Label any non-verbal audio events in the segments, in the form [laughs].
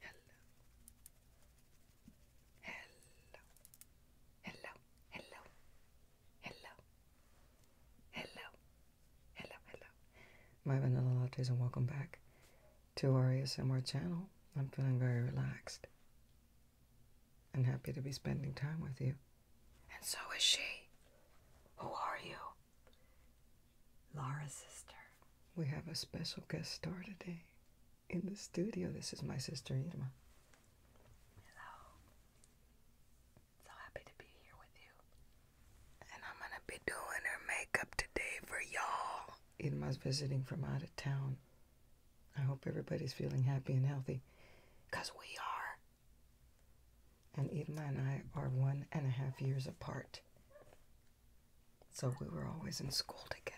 Hello. Hello. Hello. Hello. Hello. Hello. Hello. Hello. My vanilla lattes and welcome back to our ASMR channel. I'm feeling very relaxed and happy to be spending time with you. And so is she. Who are you? Laura's sister. We have a special guest star today in the studio. This is my sister Irma. Hello. So happy to be here with you. And I'm gonna be doing her makeup today for y'all. Irma's visiting from out of town. I hope everybody's feeling happy and healthy. Cause we are and Irma and I are one and a half years apart. So we were always in school together.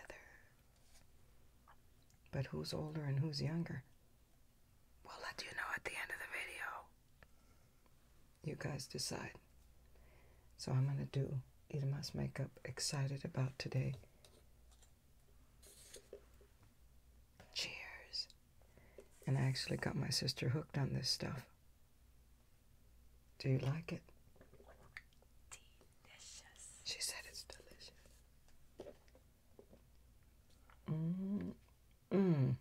But who's older and who's younger? We'll let you know at the end of the video. You guys decide. So I'm going to do Irma's makeup excited about today. Cheers. And I actually got my sister hooked on this stuff. Do you like it? Delicious. She said it's delicious. Mm. Mm.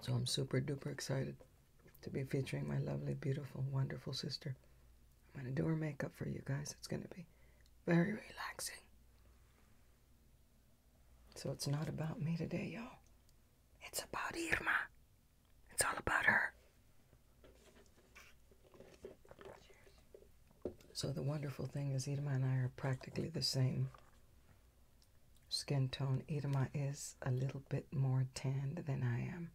So I'm super duper excited to be featuring my lovely, beautiful, wonderful sister. I'm going to do her makeup for you guys. It's going to be very relaxing. So it's not about me today, y'all. It's about Irma. It's all about her. So the wonderful thing is Irma and I are practically the same skin tone. Irma is a little bit more tanned than I am.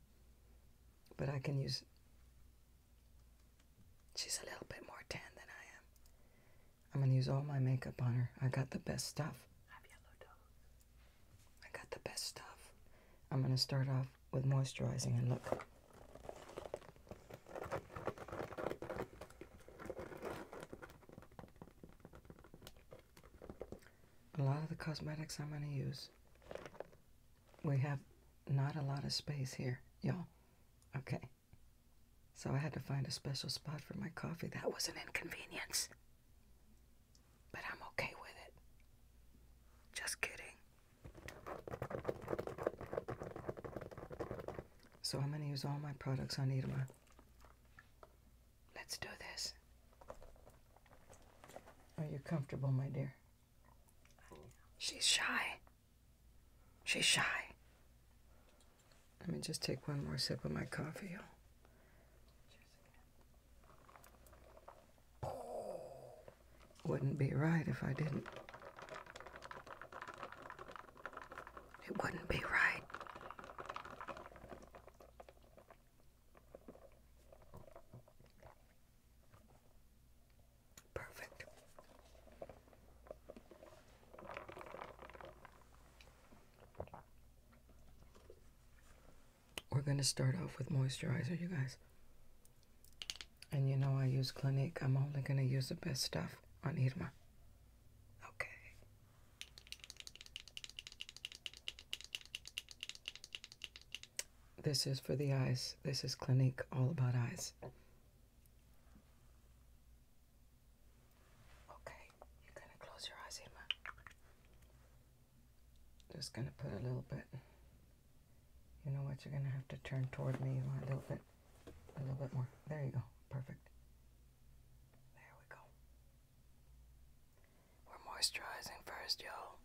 But I can use... She's a little bit more tan than I am. I'm gonna use all my makeup on her. I got the best stuff. I got the best stuff. I'm gonna start off with moisturizing and look. A lot of the cosmetics I'm gonna use. We have not a lot of space here, y'all. Okay. So I had to find a special spot for my coffee. That was an inconvenience. But I'm okay with it. Just kidding. So I'm going to use all my products on Irma. Let's do this. Are you comfortable, my dear? She's shy. She's shy. Let me just take one more sip of my coffee. wouldn't be right if I didn't. It wouldn't be right. Perfect. We're going to start off with moisturizer, you guys. And you know I use Clinique. I'm only going to use the best stuff on Irma. Okay. This is for the eyes. This is Clinique All About Eyes. Okay, you're going to close your eyes, Emma. Just going to put a little bit. You know what? You're going to have to turn toward me a little bit. A little bit more. There you go. Perfect. There we go. We're moisturizing first, y'all.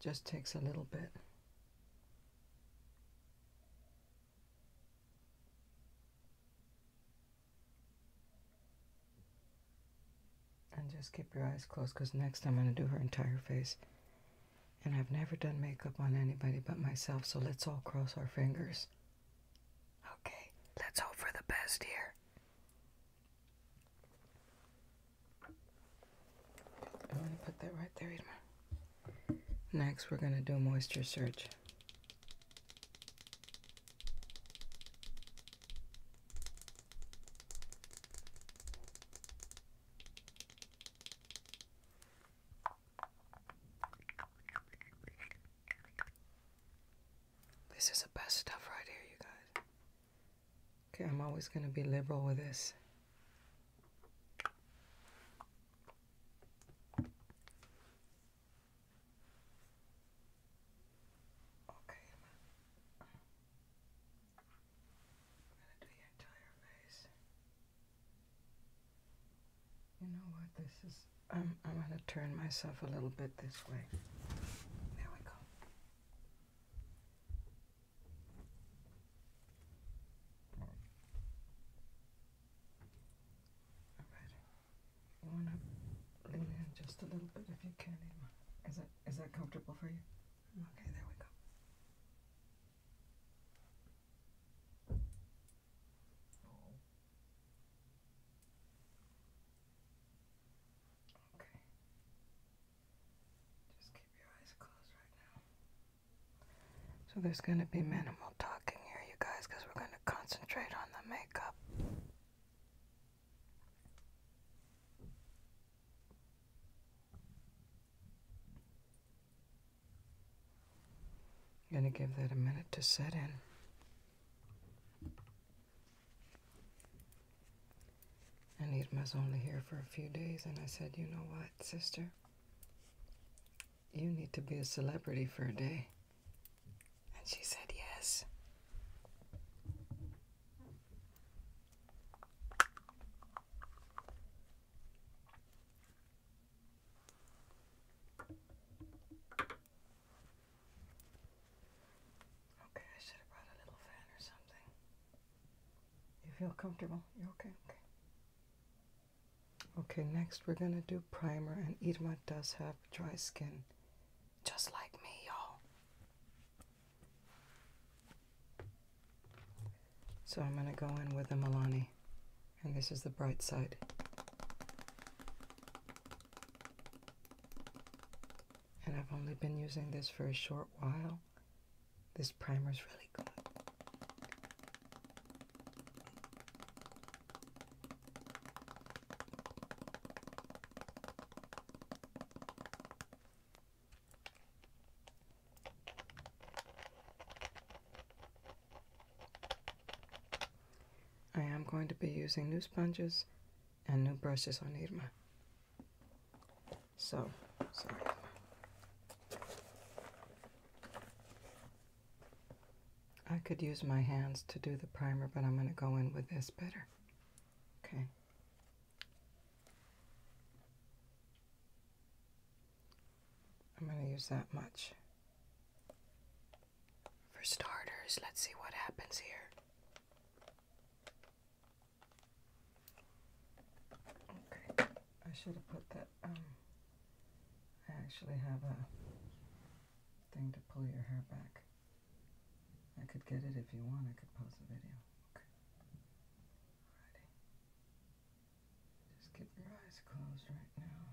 Just takes a little bit. And just keep your eyes closed because next I'm going to do her entire face. And I've never done makeup on anybody but myself, so let's all cross our fingers. Okay, let's hope for the best here. I'm going to put that right there, Edmund. Next, we're going to do a moisture search. This is the best stuff right here, you guys. Okay, I'm always going to be liberal with this. Okay, I'm gonna do your entire face. You know what? This is. I'm. I'm gonna turn myself a little bit this way. There we go. Alright. You wanna lean in just a little bit if you can, Is that is that comfortable for you? Okay, there we go. Okay. Just keep your eyes closed right now. So there's going to be minimal talking here, you guys, because we're going to concentrate on the makeup. going to give that a minute to set in. And it was only here for a few days, and I said, you know what, sister? You need to be a celebrity for a day. And she said yes. Okay, I should have brought a little fan or something. You feel comfortable? you okay? Okay. Okay, next we're gonna do primer, and Irma does have dry skin, just like me, y'all. So I'm gonna go in with the Milani, and this is the bright side. And I've only been using this for a short while. This primer is really good. I am going to be using new sponges and new brushes on Irma. So, sorry. I could use my hands to do the primer, but I'm going to go in with this better. Okay. I'm going to use that much. For starters, let's see what happens here. Okay, I should have put that um, I actually have a thing to pull your hair back. I could get it if you want. I could pause the video. Okay. Alrighty. Just keep your eyes closed right now.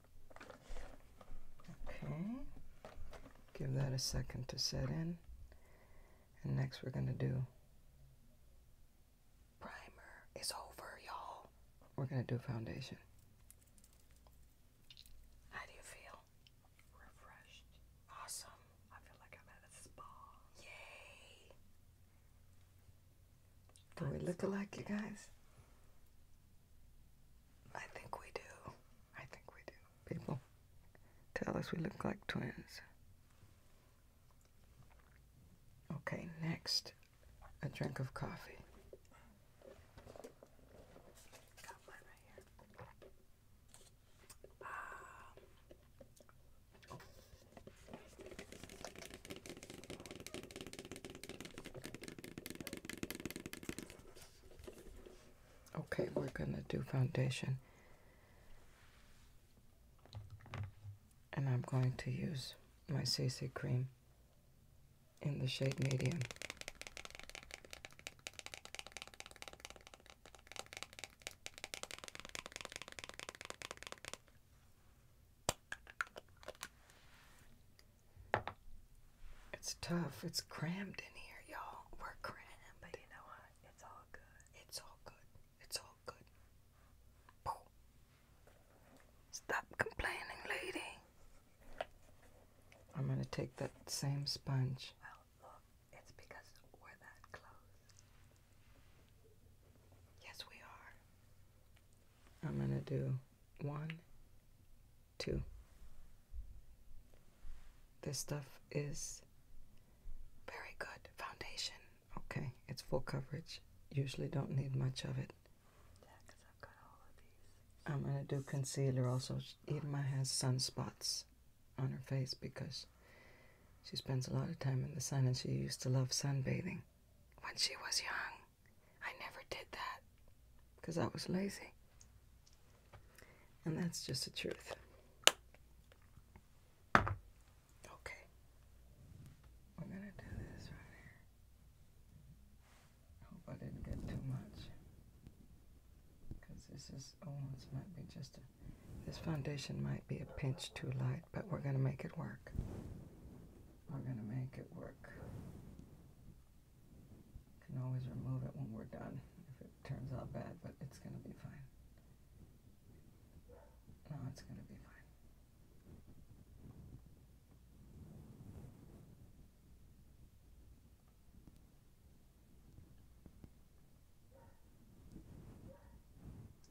Okay. Give that a second to set in. And next we're going to do primer is over, y'all. We're going to do foundation. How do you feel? Refreshed. Awesome. I feel like I'm at a spa. Yay. Do we look alike, you guys? I think we do. I think we do. People tell us we look like twins. Okay, next, a drink of coffee. Okay, we're going to do foundation. And I'm going to use my C C cream in the shade medium. It's tough. It's crammed in here, y'all. We're crammed. But you know what? It's all good. It's all good. It's all good. Stop complaining, lady. I'm going to take that same sponge. Well, look, it's because we're that close. Yes, we are. I'm going to do one, too. This stuff is very good foundation. Okay, it's full coverage. Usually don't need much of it. Yeah, I've got all of these. I'm going to do concealer also. Irma has sunspots on her face because she spends a lot of time in the sun and she used to love sunbathing when she was young. I never did that because I was lazy. And that's just the truth. Okay. We're going to do this right here. I hope I didn't get too much. Because this is, oh, this might be just a, this foundation might be a pinch too light, but we're going to make it work. We're going to make it work can always remove it when we're done if it turns out bad, but it's going to be fine. No, it's going to be fine.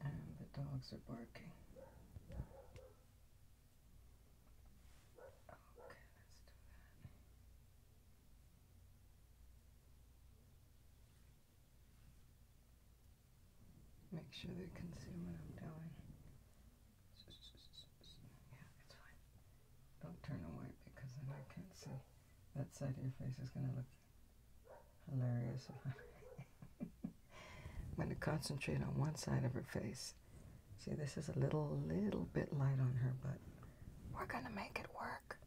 And the dogs are barking. Okay, oh, let's do that. Make sure they are consuming. what I'm doing. Yeah, it's fine. Don't turn away because then I can't see. That side of your face is going to look hilarious. [laughs] I'm going to concentrate on one side of her face See, this is a little, little bit light on her, but we're going to make it work.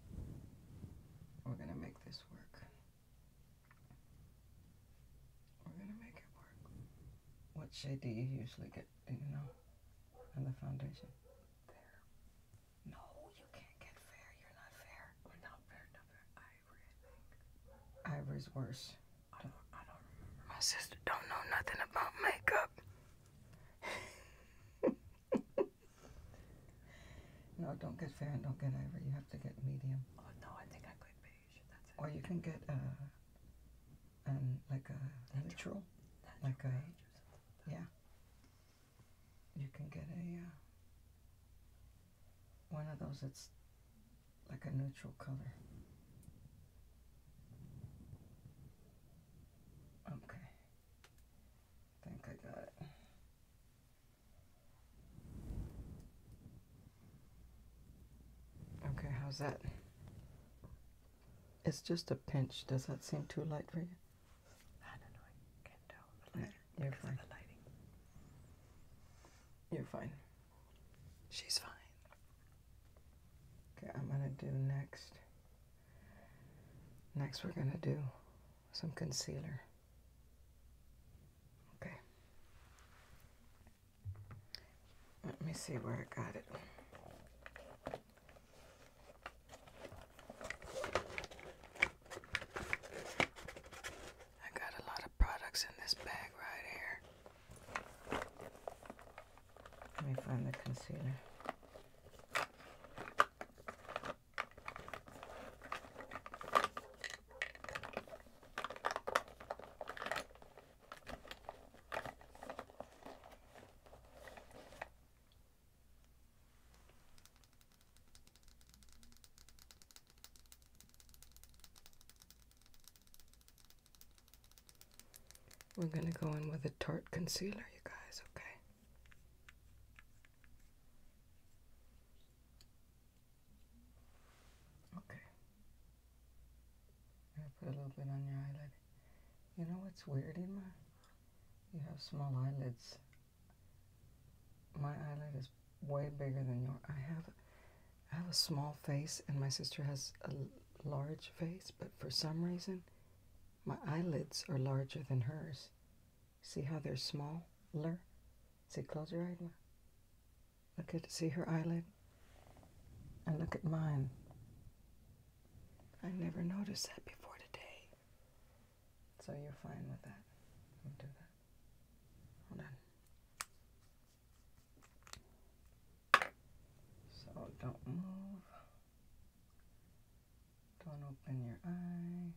We're going to make this work. We're going to make it work. What shade do you usually get, you know, on the foundation? There. No, you can't get fair. You're not fair. We're not fair, not fair. Ivory, Ivory's worse. I don't, I don't remember. My sister don't know nothing about makeup. [laughs] no, don't get fair and don't get ivory. You have to get medium. Oh no, I think I could beige. That's it. Or you can get uh, a, um, like a natural, natural like a yeah. You can get a uh, one of those that's like a neutral color. Okay. I think I got it. Okay, how's that? It's just a pinch. Does that seem too light for you? I don't know. You're fine. You're fine. She's fine. Okay, I'm going to do next. Next we're going to do some concealer. Okay. Let me see where I got it. I got a lot of products in this bag right here. Let me find the concealer. We're gonna go in with a tart concealer, you guys, okay? Okay. I'm gonna put a little bit on your eyelid. You know what's weird, Ima? You have small eyelids. My eyelid is way bigger than yours. I have, I have a small face, and my sister has a large face, but for some reason, my eyelids are larger than hers. See how they're smaller? See, close your eyes. Look at, see her eyelid? And look at mine. I never noticed that before today. So you're fine with that. do that. Hold on. So don't move. Don't open your eye.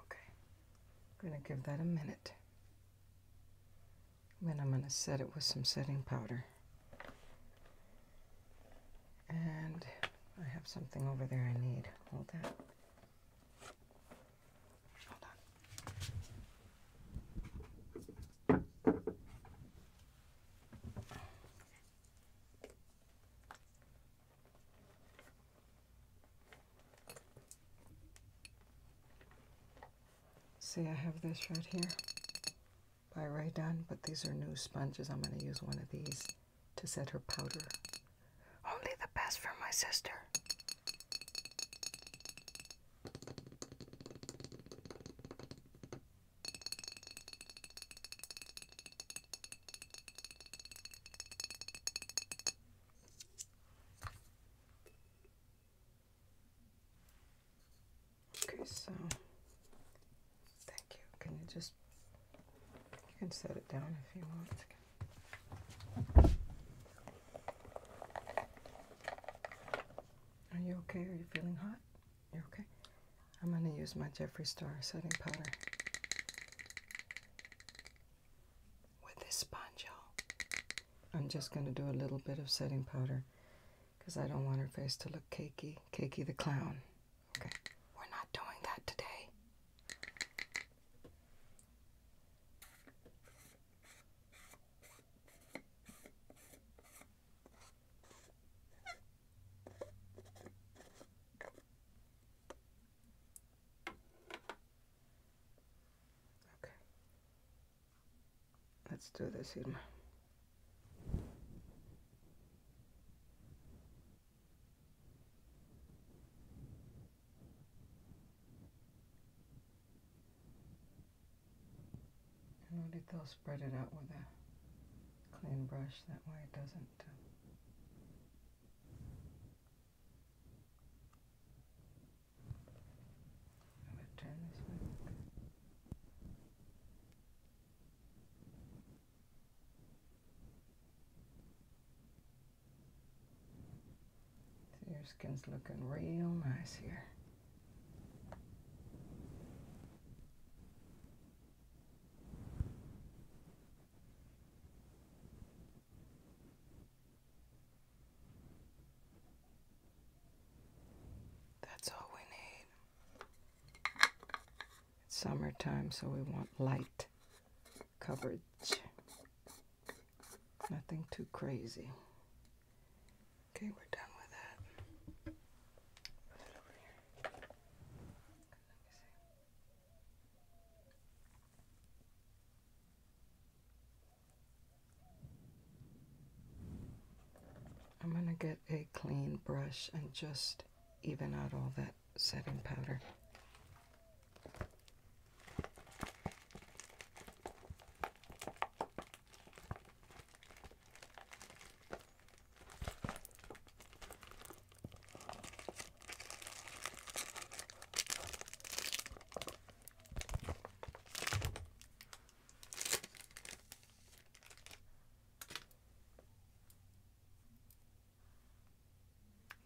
Okay, I'm going to give that a minute. Then I'm going to set it with some setting powder. And I have something over there I need. Hold that. Hold on. See, I have this right here by Raydon, but these are new sponges. I'm going to use one of these to set her powder. Only the best for my sister. Okay, so thank you. Can you just you can set it down if you want. Are you okay? Are you feeling hot? You're okay? I'm going to use my Jeffree Star setting powder. With this sponge, I'm just going to do a little bit of setting powder because I don't want her face to look cakey. Cakey the clown. Okay, we're not doing that today. Okay. Let's do this, Irma. I know that they'll spread it out with a clean brush, that way it doesn't. Uh, i turn this way your skin's looking real nice here. That's all we need. It's summertime, so we want light coverage. Nothing too crazy. Okay, we're done with that. I'm going to get a clean brush and just even out all that setting powder.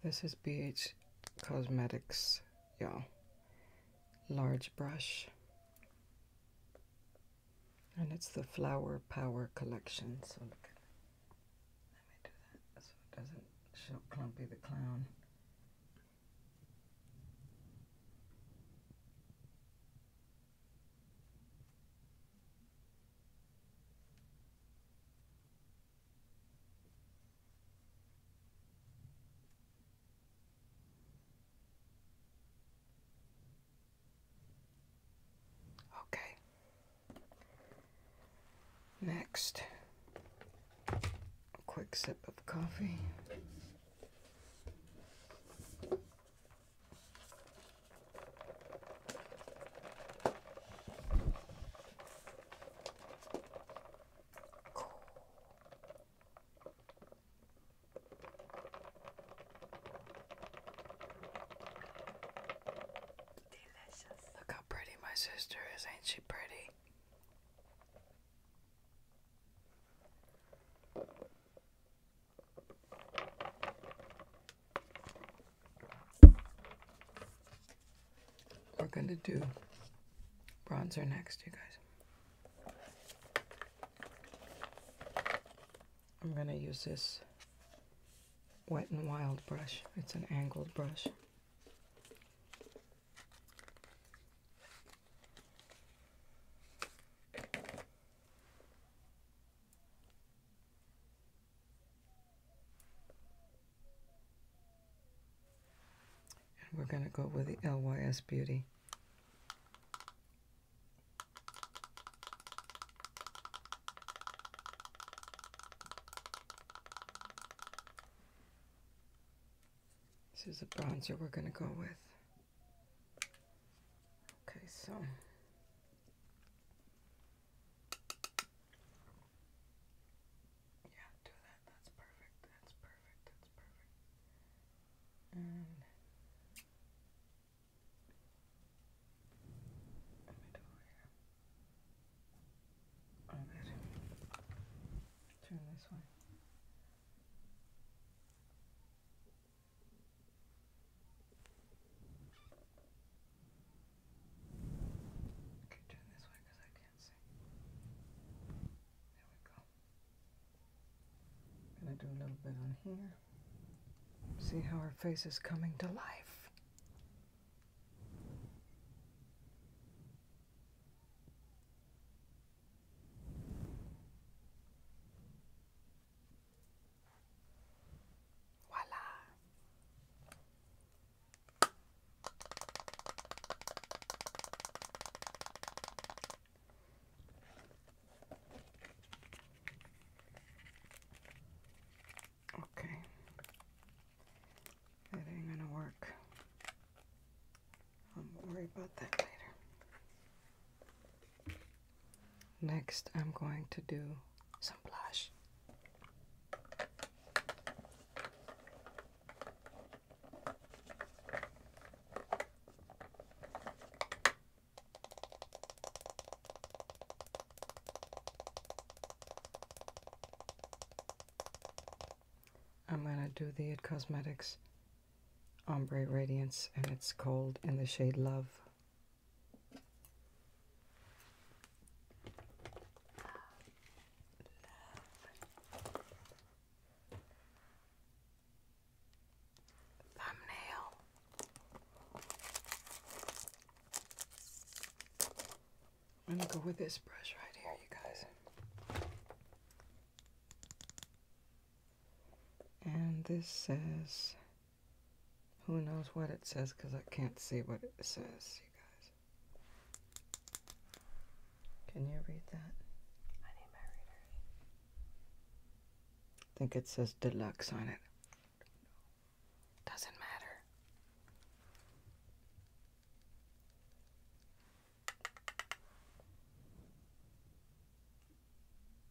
This is BH Cosmetics, y'all. Large brush. And it's the Flower Power Collection. So look. Let me do that so it doesn't show Clumpy the Clown. Okay. Next, quick sip of coffee. Look how pretty my sister is, ain't she pretty? We're going to do bronzer next, you guys. I'm going to use this Wet and Wild brush. It's an angled brush. And we're going to go with the LYS Beauty. This is the bronzer we're going to go with. Okay, so yeah, do that. That's perfect. That's perfect. That's perfect. And let me do here. Oh, Turn this way. Okay, turn this way because I can't see. There we go. gonna do a little bit on here. See how her face is coming to life. Voila. Okay. That ain't gonna work. I'll worry about that later. Next, I'm going to do some blush. I'm going to do the It Cosmetics Ombre Radiance, and it's called in the shade Love. Thumbnail. I'm gonna go with this brush right here, you guys. And this says who knows what it says because I can't see what it says, you guys. Can you read that? I need my reader. I think it says deluxe on it. Doesn't matter.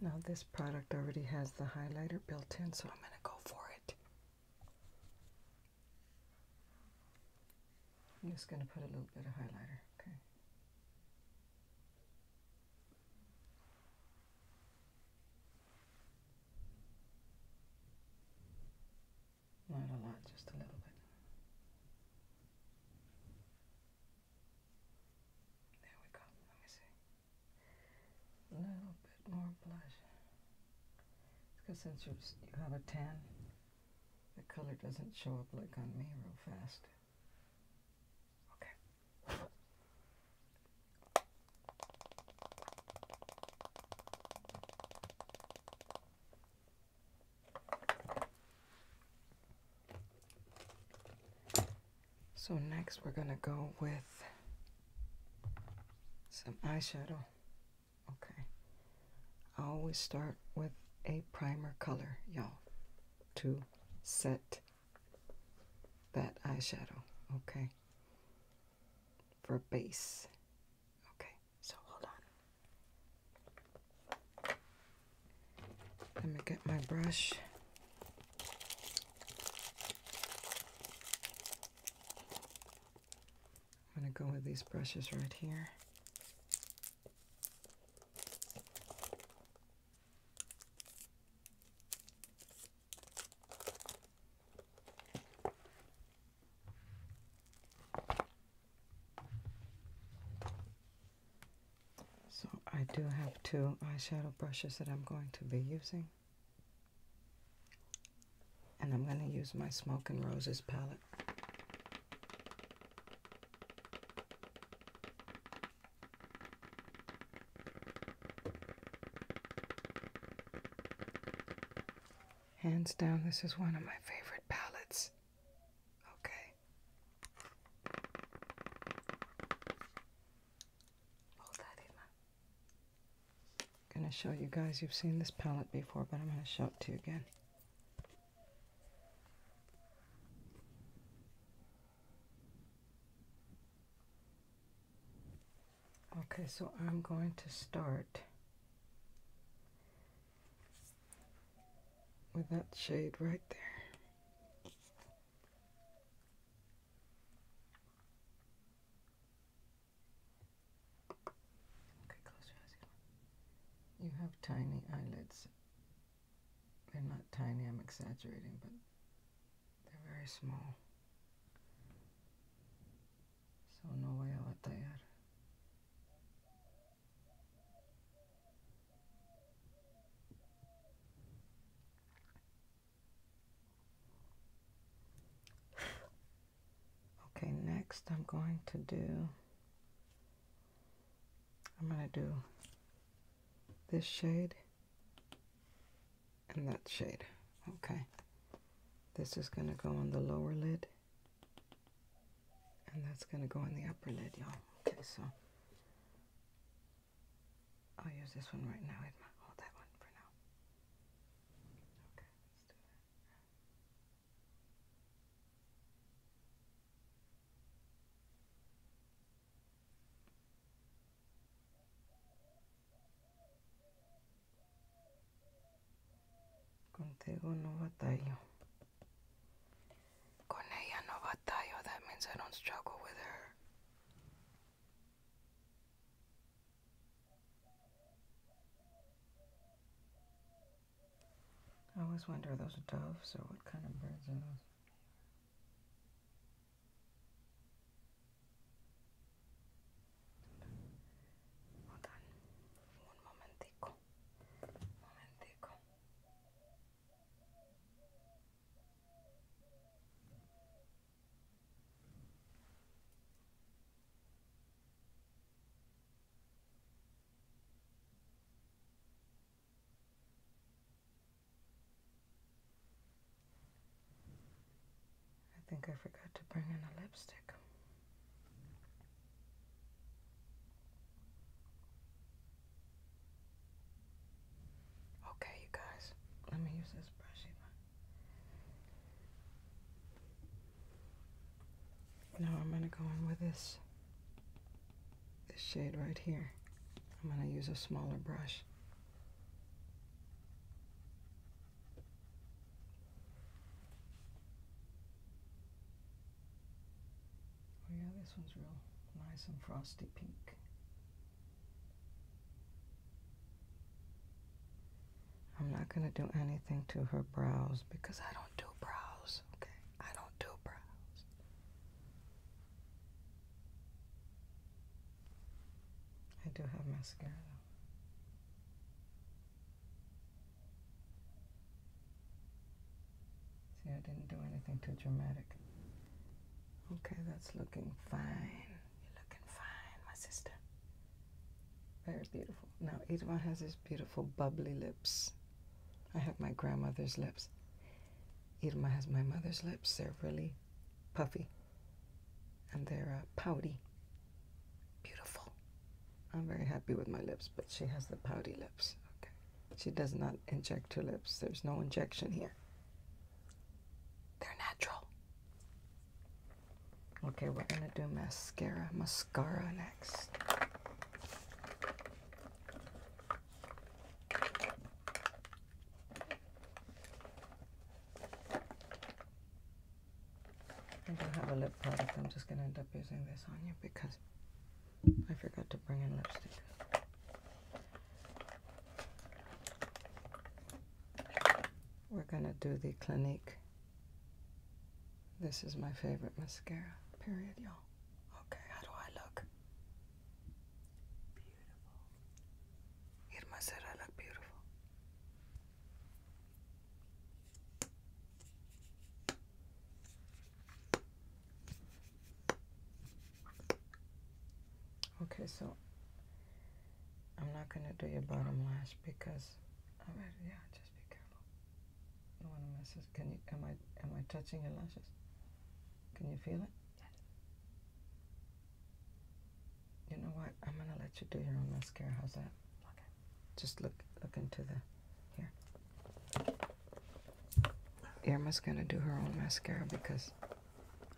Now this product already has the highlighter built in, so I'm going to go for it. I'm just going to put a little bit of highlighter. Okay. Not a lot, just a little bit. There we go. Let me see. A little bit more blush. Because since you have a tan, the color doesn't show up like on me real fast. Okay. So next we're gonna go with some eyeshadow. Okay. I always start with a primer color, y'all, to set that eyeshadow, okay? For base. Okay, so hold on. Let me get my brush. I'm going to go with these brushes right here. So I do have two eyeshadow brushes that I'm going to be using. And I'm going to use my Smoke and Roses palette. Hands down, this is one of my favorite palettes. Okay. Hold that in. I'm going to show you guys, you've seen this palette before, but I'm going to show it to you again. Okay, so I'm going to start with that shade right there. You have tiny eyelids. They're not tiny, I'm exaggerating, but they're very small. So no voy a batallar. Okay, next I'm going to do, I'm going to do this shade and that shade. Okay, this is going to go on the lower lid and that's going to go on the upper lid, y'all. Okay, so I'll use this one right now. hold that one for now. Contigo no batallo. Con ella no batallo, that means I don't struggle with her. I always wonder are those doves or what kind of birds are those? Hold on. Un momentico. Momentico. I think I forgot to bring in a lipstick. Okay, you guys, let me use this brush Now I'm gonna go in with this this shade right here. I'm gonna use a smaller brush. Oh yeah, this one's real nice and frosty pink. I'm not going to do anything to her brows because I don't do brows, okay? I don't do brows. I do have mascara See, I didn't do anything too dramatic. Okay, that's looking fine. You're looking fine, my sister. Very beautiful. Now, Edouard has these beautiful bubbly lips. I have my grandmother's lips. Irma has my mother's lips. They're really puffy and they're uh, pouty. Beautiful. I'm very happy with my lips, but she has the pouty lips. Okay. She does not inject her lips. There's no injection here. They're natural. Okay, we're gonna do mascara, mascara next. I don't have a lip product. I'm just gonna end up using this on you because I forgot to bring in lipstick. We're going to do the Clinique. This is my favorite mascara, period, y'all. Okay, how do I look? Beautiful. Irma said I look beautiful. Okay, so I'm not gonna do your bottom lash because I'm right, yeah, just be careful. No one messes. Can you am I am I touching your lashes? Can you feel it? Yes. You know what? I'm gonna let you do your own mascara. How's that? Okay. Just look look into the here. Emma's gonna do her own mascara because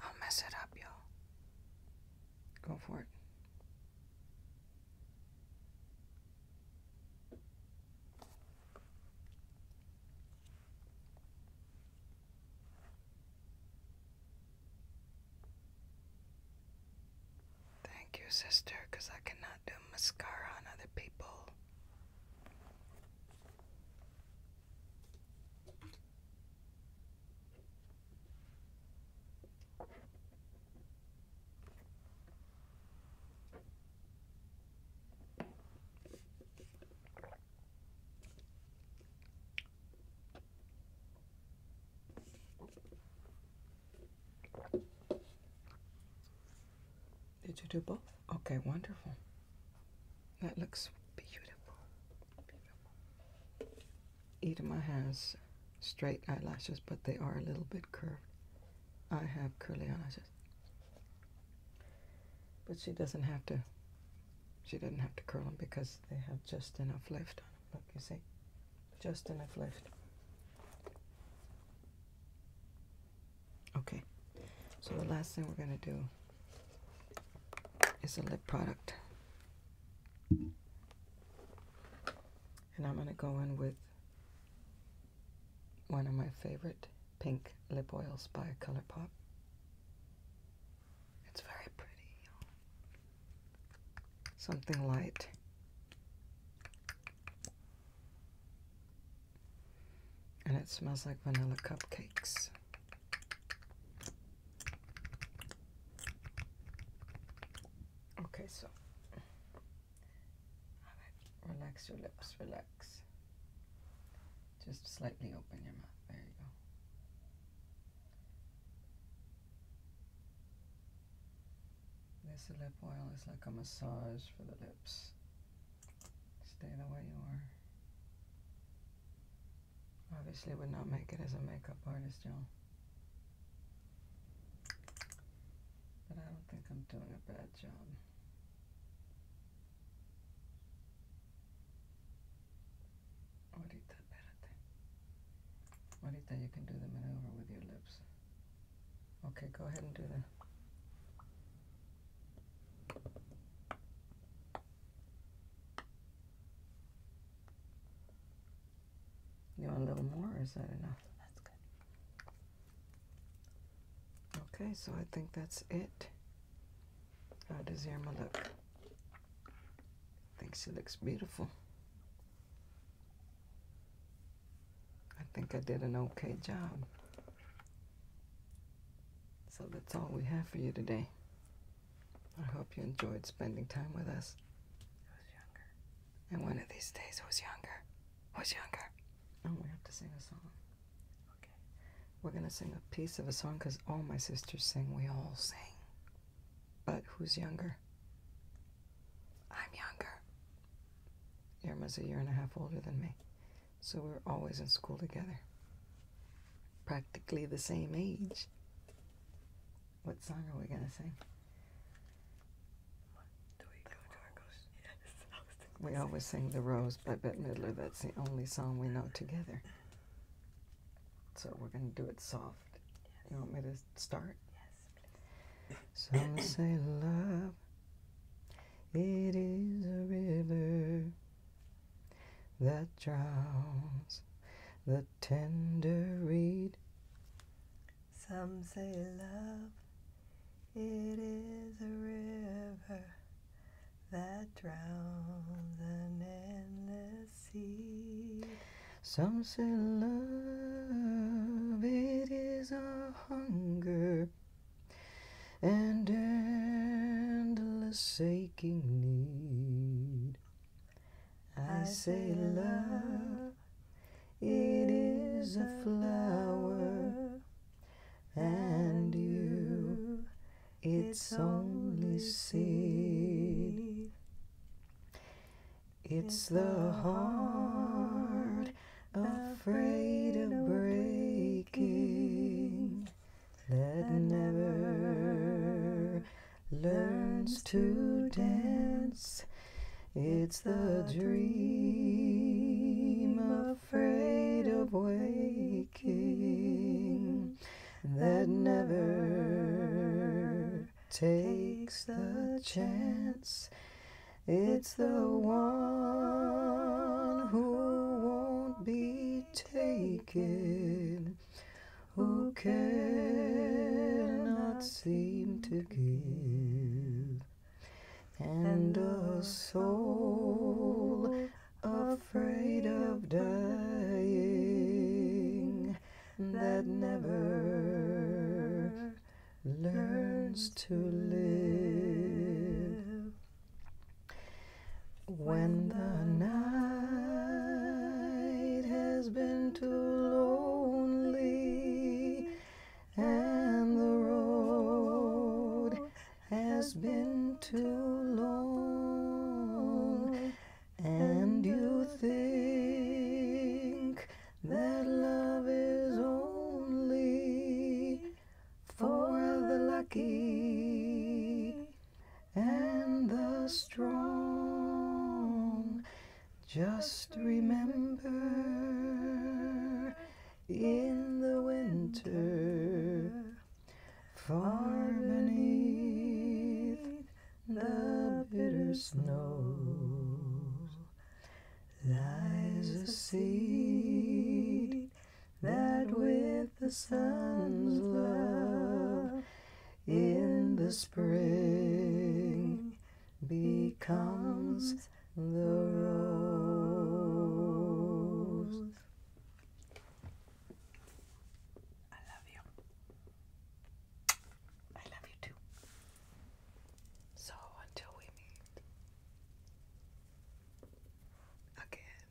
I'll mess it up, y'all. Go for it. Thank you, sister, I cannot do mascara on other people. Did you do both? Okay, wonderful. That looks beautiful. beautiful. has straight eyelashes, but they are a little bit curved. I have curly eyelashes. But she doesn't have to, she doesn't have to curl them because they have just enough left on them. Look, you see? Just enough left. Okay. So the last thing we're going to do it's a lip product. And I'm going to go in with one of my favorite pink lip oils by ColourPop. It's very pretty. Something light. And it smells like vanilla cupcakes. Okay, so relax your lips, relax. Just slightly open your mouth. There you go. This lip oil is like a massage for the lips. Stay the way you are. Obviously would not make it as a makeup artist, y'all. But I don't think I'm doing a bad job. Ahorita, espérate. Ahorita you can do the maneuver with your lips. Okay, go ahead and do that. You want a little more or is that enough? That's good. Okay, so I think that's it. How does Irma look? I think she looks beautiful. I think I did an okay job. So that's all we have for you today. I hope you enjoyed spending time with us. I was younger? And one of these days, who's younger? Who's younger? Oh, we have to sing a song. Okay. We're going to sing a piece of a song because all my sisters sing. We all sing. But who's younger? I'm younger. Irma's a year and a half older than me. So we are always in school together. Practically the same age. What song are we going to sing? Do we, go yes, we always sing The Rose by Bette Midler. That's the only song we know together. So we're going to do it soft. You want me to start? Yes, please. Some say love, it is a river that drowns the tender reed. Some say love, it is a river that drowns an endless sea. Some say love, it is a hunger and endless ache. I say, love, it is a flower, and you, it's only seed. It's the heart afraid of breaking that never learns to dance. It's the dream afraid of waking that never takes the chance. It's the one who won't be taken who cannot seem to give, and a soul afraid of dying that never learns to live. When the night has been too lonely and the road has been too long, and you think that love is only for the lucky and the strong. Just remember in the winter, far beneath the bitter snow, lies a seed that with the sun's love in the spring becomes the rose. I love you. I love you too. So until we meet again.